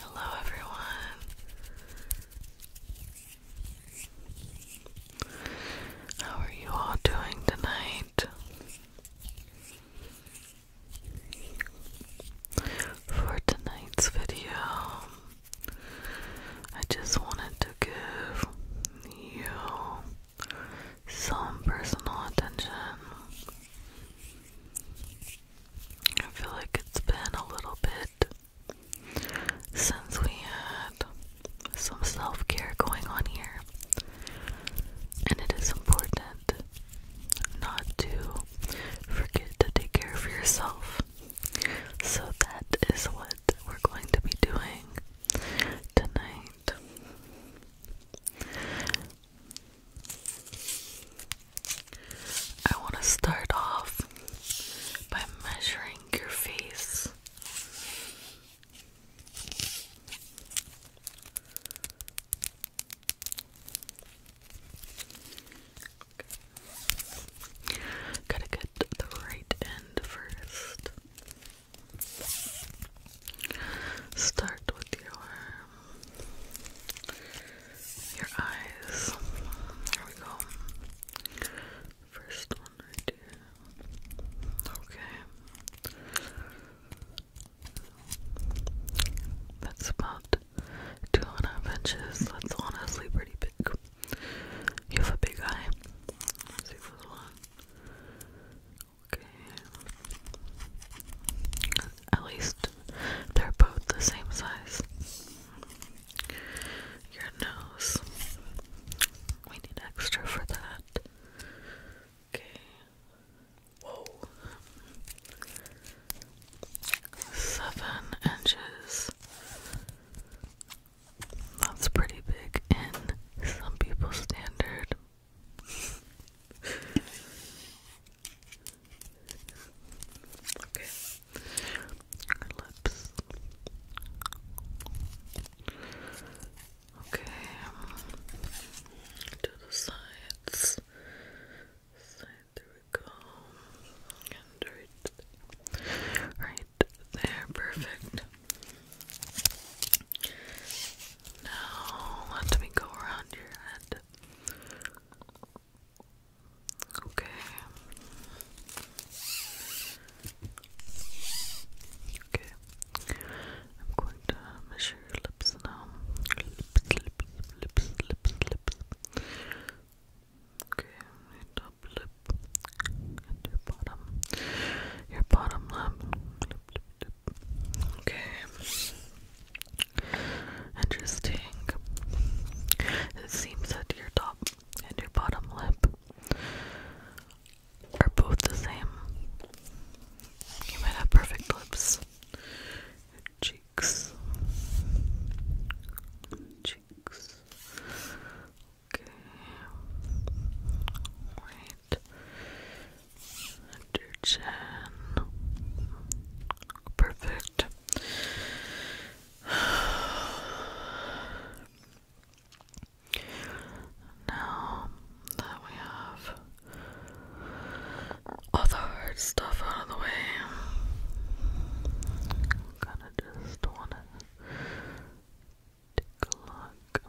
Hello, everyone. How are you all doing tonight? For tonight's video, I just wanted to give you some personal attention. I feel like it's been a little bit since we had some self care going on here, and it is important not to forget to take care of yourself. So, that is what we're going to be doing tonight. I want to start off by measuring your face. Gotta get the right first. Start with your your eyes. There we go. First one right here. Okay. That's about two and a half inches. That's honestly pretty big. You have a big eye. Okay. At least they're both the same size. Your nose. We need extra for that. Okay. Whoa. Seven inches. That's pretty big in some people's standard. okay. lips. Okay. To um, the Sides. There we go. right there, perfect. Now let me go around your head. Okay. Okay. I'm going to measure your lips now. Lips, lips, lips, lips, lips. Okay, your top lip and your bottom, your bottom lip, Okay, interesting. It seems that your top and your bottom lip are both the same. You might have perfect lips cheeks okay wait under perfect now that we have all the hard stuff out of the way. I'm just wanna take a look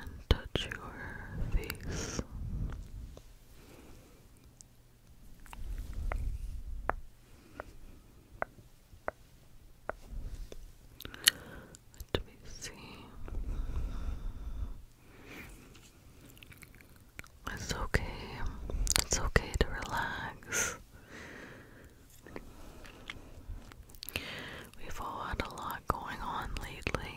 and touch your face. Let me see. It's okay. It's okay to relax. We've all had a lot going on lately.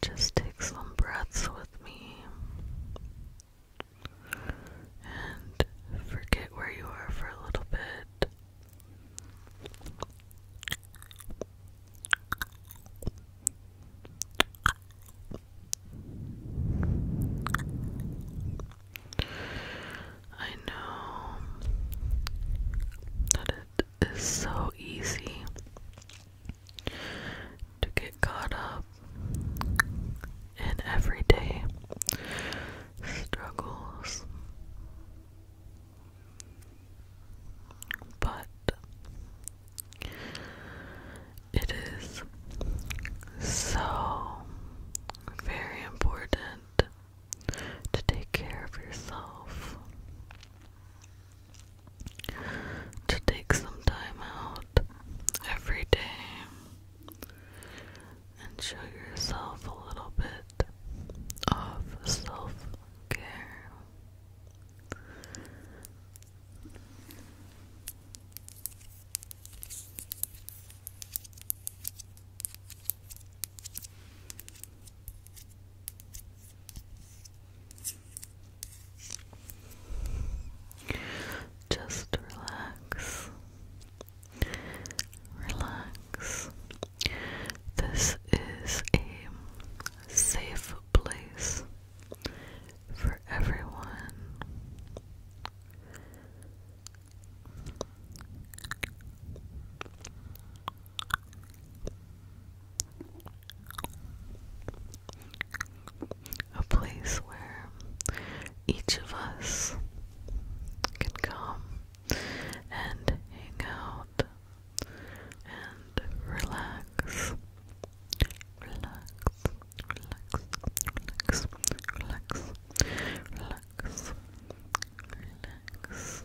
Just take some breaths with me and forget where you are for a little bit. I know that it is so easy to get caught up in everyday struggles. But it is so very important to take care of yourself, to take some time out every day and show yourself a little bit of self care. Just relax. Relax. This is a safe place for everyone a place where each of us can come and hang out and relax. Relax, relax, relax, relax, relax, relax.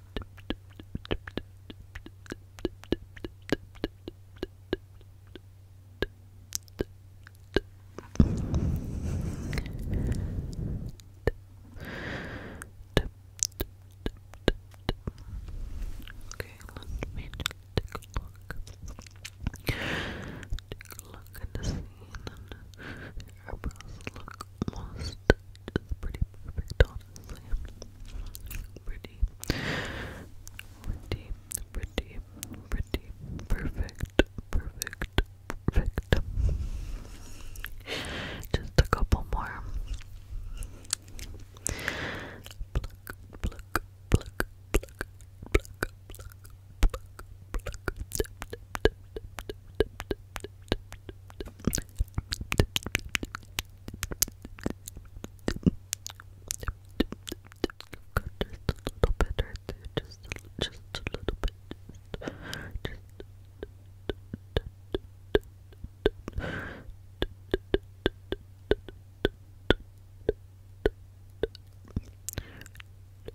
Okay, let me take a look. Take a look at this eyebrows look almost just pretty perfect, honestly. Pretty, pretty, pretty, pretty, perfect, perfect, perfect. Just a couple more little bit right there, just a, just a little bit. Just, just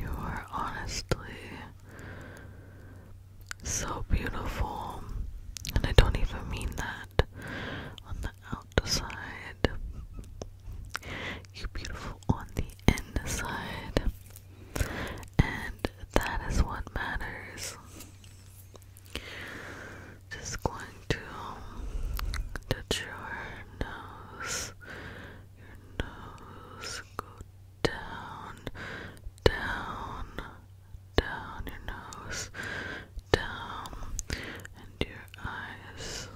You are honestly so beautiful, and I don't even mean that on the outside. You're beautiful on the inside, and that is what matters. Just going to touch your nose your nose, go down, down, down your nose, down, and your eyes,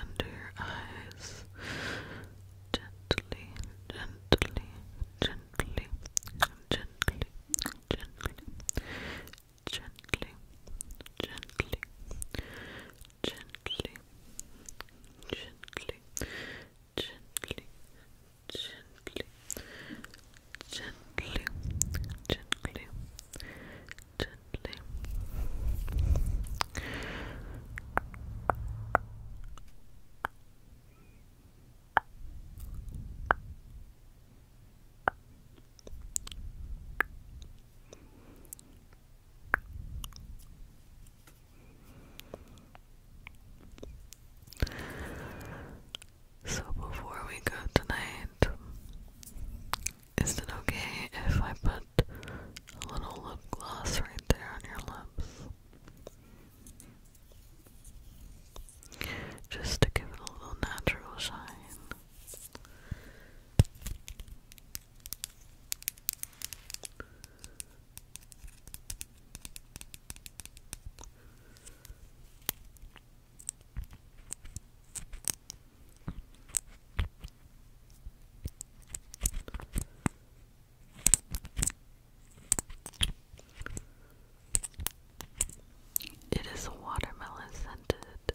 under your eyes, gently, gently, gently, gently, gently, gently, gently, gently, gently, gently, gently, gently, gently, gently. So before we go tonight, is it okay if I put a little lip gloss right there on your lips? Just to give it a little natural shine. It is watermelon scented.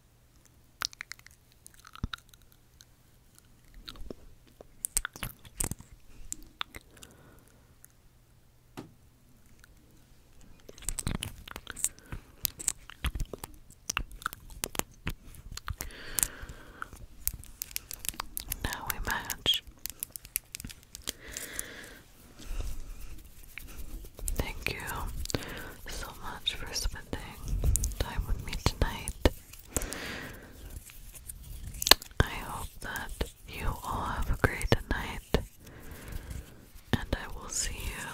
Now we match Thank you so much for spending time with me tonight. I hope that you all have a great night, and I will see you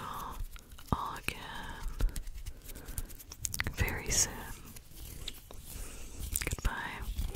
all again very soon. Goodbye.